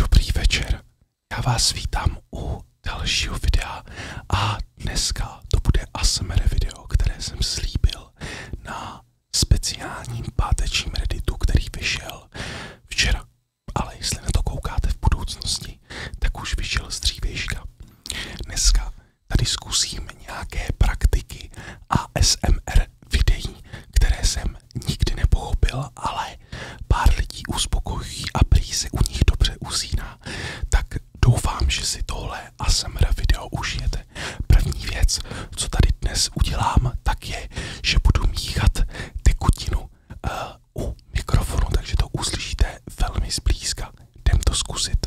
Dobrý večer, já vás vítám u dalšího videa a dneska to bude ASMR video, které jsem slíbil na speciálním pátečním redditu, který vyšel včera. Ale jestli na to koukáte v budoucnosti, tak už vyšel z dřívějška. Dneska tady zkusím nějaké praktiky ASMR videí, které jsem nikdy nepochopil, ale pár lidí uspokojí a prý se u nich dobře usíná. Tak doufám, že si tohle ASMR video užijete. První věc, co tady dnes udělám, tak je, že budu míchat tekutinu uh, u mikrofonu, takže to uslyšíte velmi zblízka. Jdem to zkusit.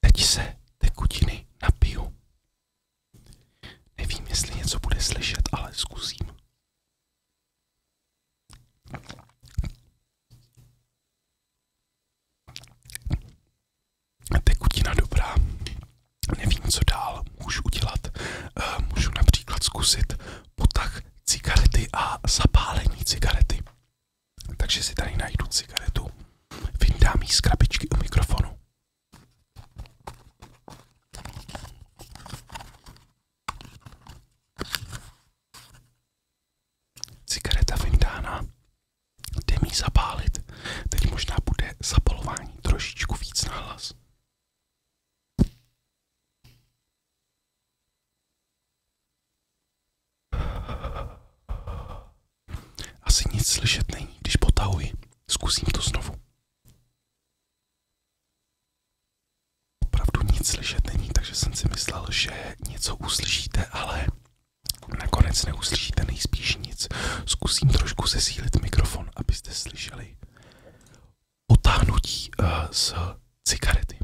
Teď se tekutiny napiju. Nevím, jestli něco bude slyšet, ale zkusím. Tekutina dobrá. Nevím, co dál můžu udělat. Eh, můžu například zkusit potah cigarety a zapálení cigarety. Takže si tady najdu cigaretu, Vydám jí z krabičky u mikrofonu. Cigareta vydána. jde mi zapálit, teď možná bude zapalování trošičku víc na asi nic slyšet není, když potahuji. Zkusím to znovu. Opravdu nic slyšet není, takže jsem si myslel, že něco uslyšíte, ale nakonec neuslyšíte nejspíš nic. Zkusím trošku zesílit mikrofon, abyste slyšeli otáhnutí eh, z cigarety.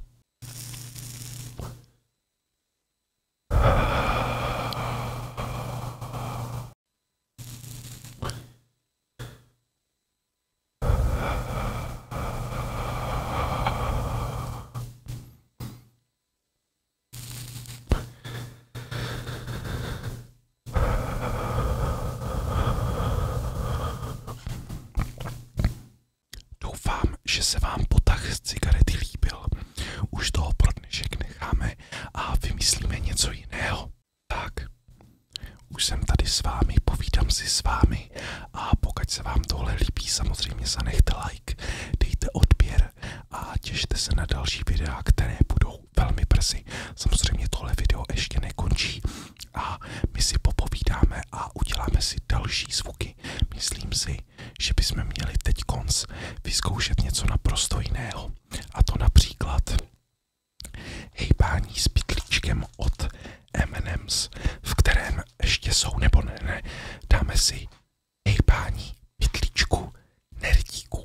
Doufám, že se vám potah z cigarety líbil. Už toho pro dnešek necháme a vymyslíme něco jiného. Tak, už jsem tady s vámi, povídám si s vámi a pokud se vám tohle líbí, samozřejmě zanechte like, dejte odběr a těšte se na další videa, které budou velmi brzy. Samozřejmě tohle video ještě nekončí, a my si popovídáme a uděláme si další zvuky. Myslím si, že bychom měli teď konc vyzkoušet něco naprosto jiného. A to například hejbání s pitlíčkem od M&M's, v kterém ještě jsou nebo ne, ne. Dáme si hejbání pitlíčku nerdíku.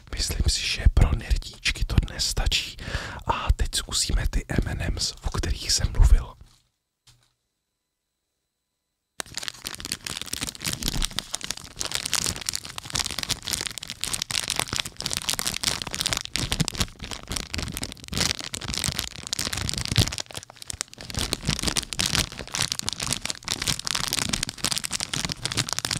Myslím si, že pro nerdíčky to dnes stačí. A teď zkusíme ty M&M's, o kterých jsem mluvil.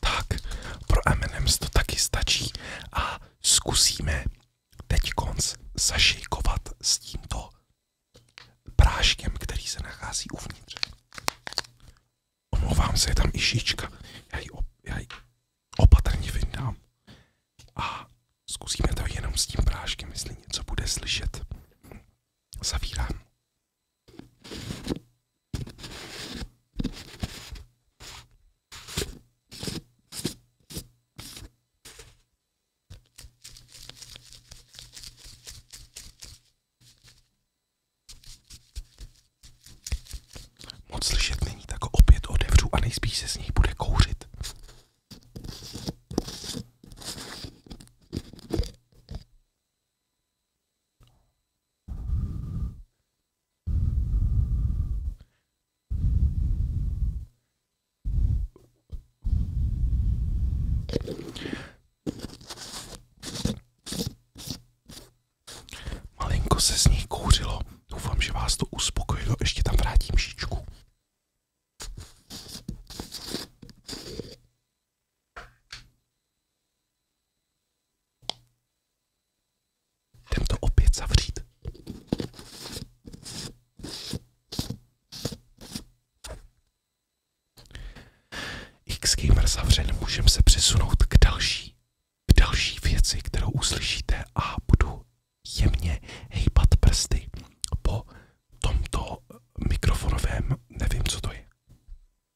tak pro M&M's to taky stačí a zkusíme teď konc zašejkovat s tímto práškem, který se nachází uvnitř. Omlouvám se, je tam i šička. Já ji, op, já ji opatrně vyndám. A zkusíme to jenom s tím práškem, jestli něco bude slyšet. Zavírám. Moc slyšet není, tak ho opět odevřu a nejspíš se z něj bude kouřit. Malinko se z ní kouřilo. Doufám, že vás to uspokojilo. Ještě tam vrátím šičku. Jdem to opět zavřít. X-Gamer zavřen, můžeme se přesunout k další, k další věci, kterou uslyšíte a budu jemně hejbat prsty po tomto mikrofonovém, nevím co to je,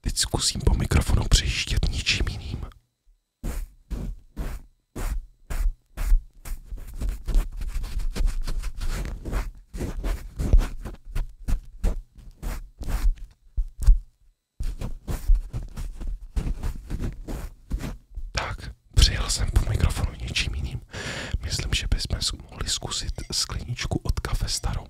Teď zkusím po mikrofonu přijíždět ničím jiným. Tak, přijel jsem po mikrofonu něčím jiným. Myslím, že bychom mohli zkusit skleničku od kafe starou.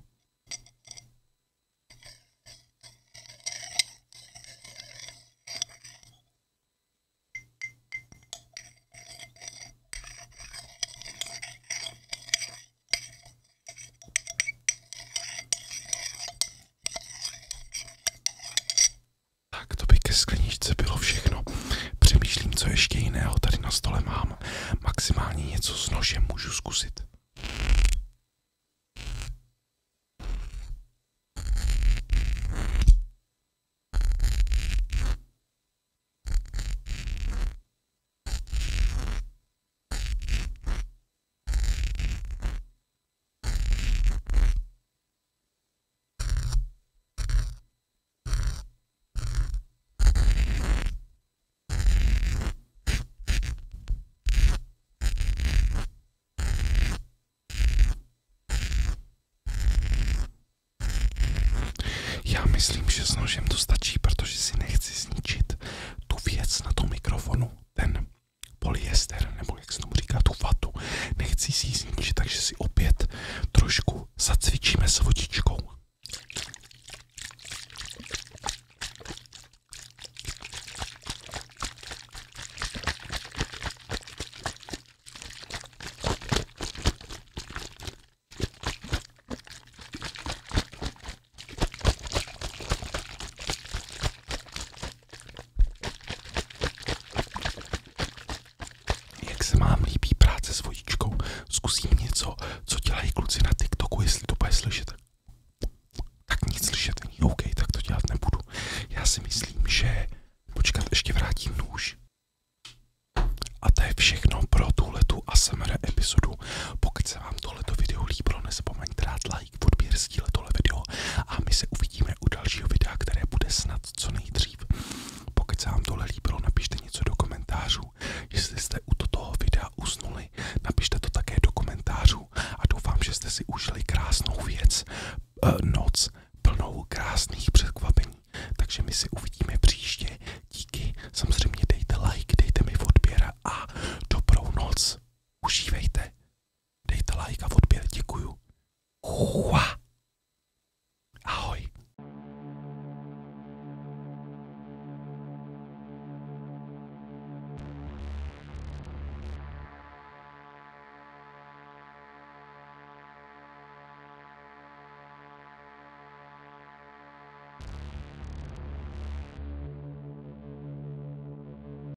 Tak to by ke skleničce bylo všechno. Přemýšlím, co ještě jiného tady na stole mám. Maximálně něco s nožem můžu zkusit. Já myslím, že s nožem to stačí, protože si nechci zničit tu věc na tom mikrofonu, ten polyester, nebo jak se tomu říká, tu vatu. Nechci si ji zničit, takže si opět trošku zacvičíme s vodičkou. Jak se mám líbí práce s vodičkou? Zkusím něco, co dělají kluci na TikToku, jestli to bude slyšet. Tak nic slyšet není, OK, tak to dělat nebudu. Já si myslím, že počkat, ještě vrátím nůž. A to je všechno pro tuhletu ASMR epizodu. Pokud se vám tohleto video líbilo, nezapomeňte dát like, odběr, sdíle tohle video a my se uvidíme u dalšího videa, které bude snad co nejdřív. Pokud se vám tohle líbilo, napište něco do komentářů. Jestli jste u toho videa usnuli, napište to také do komentářů a doufám, že jste si užili krásnou věc, eh, noc plnou krásných překvapení. Takže my se uvidíme příště. Díky, samozřejmě dejte like, dejte mi odběr a dobrou noc. Užívejte. Dejte like a odběr, děkuju. Uá. Ahoj.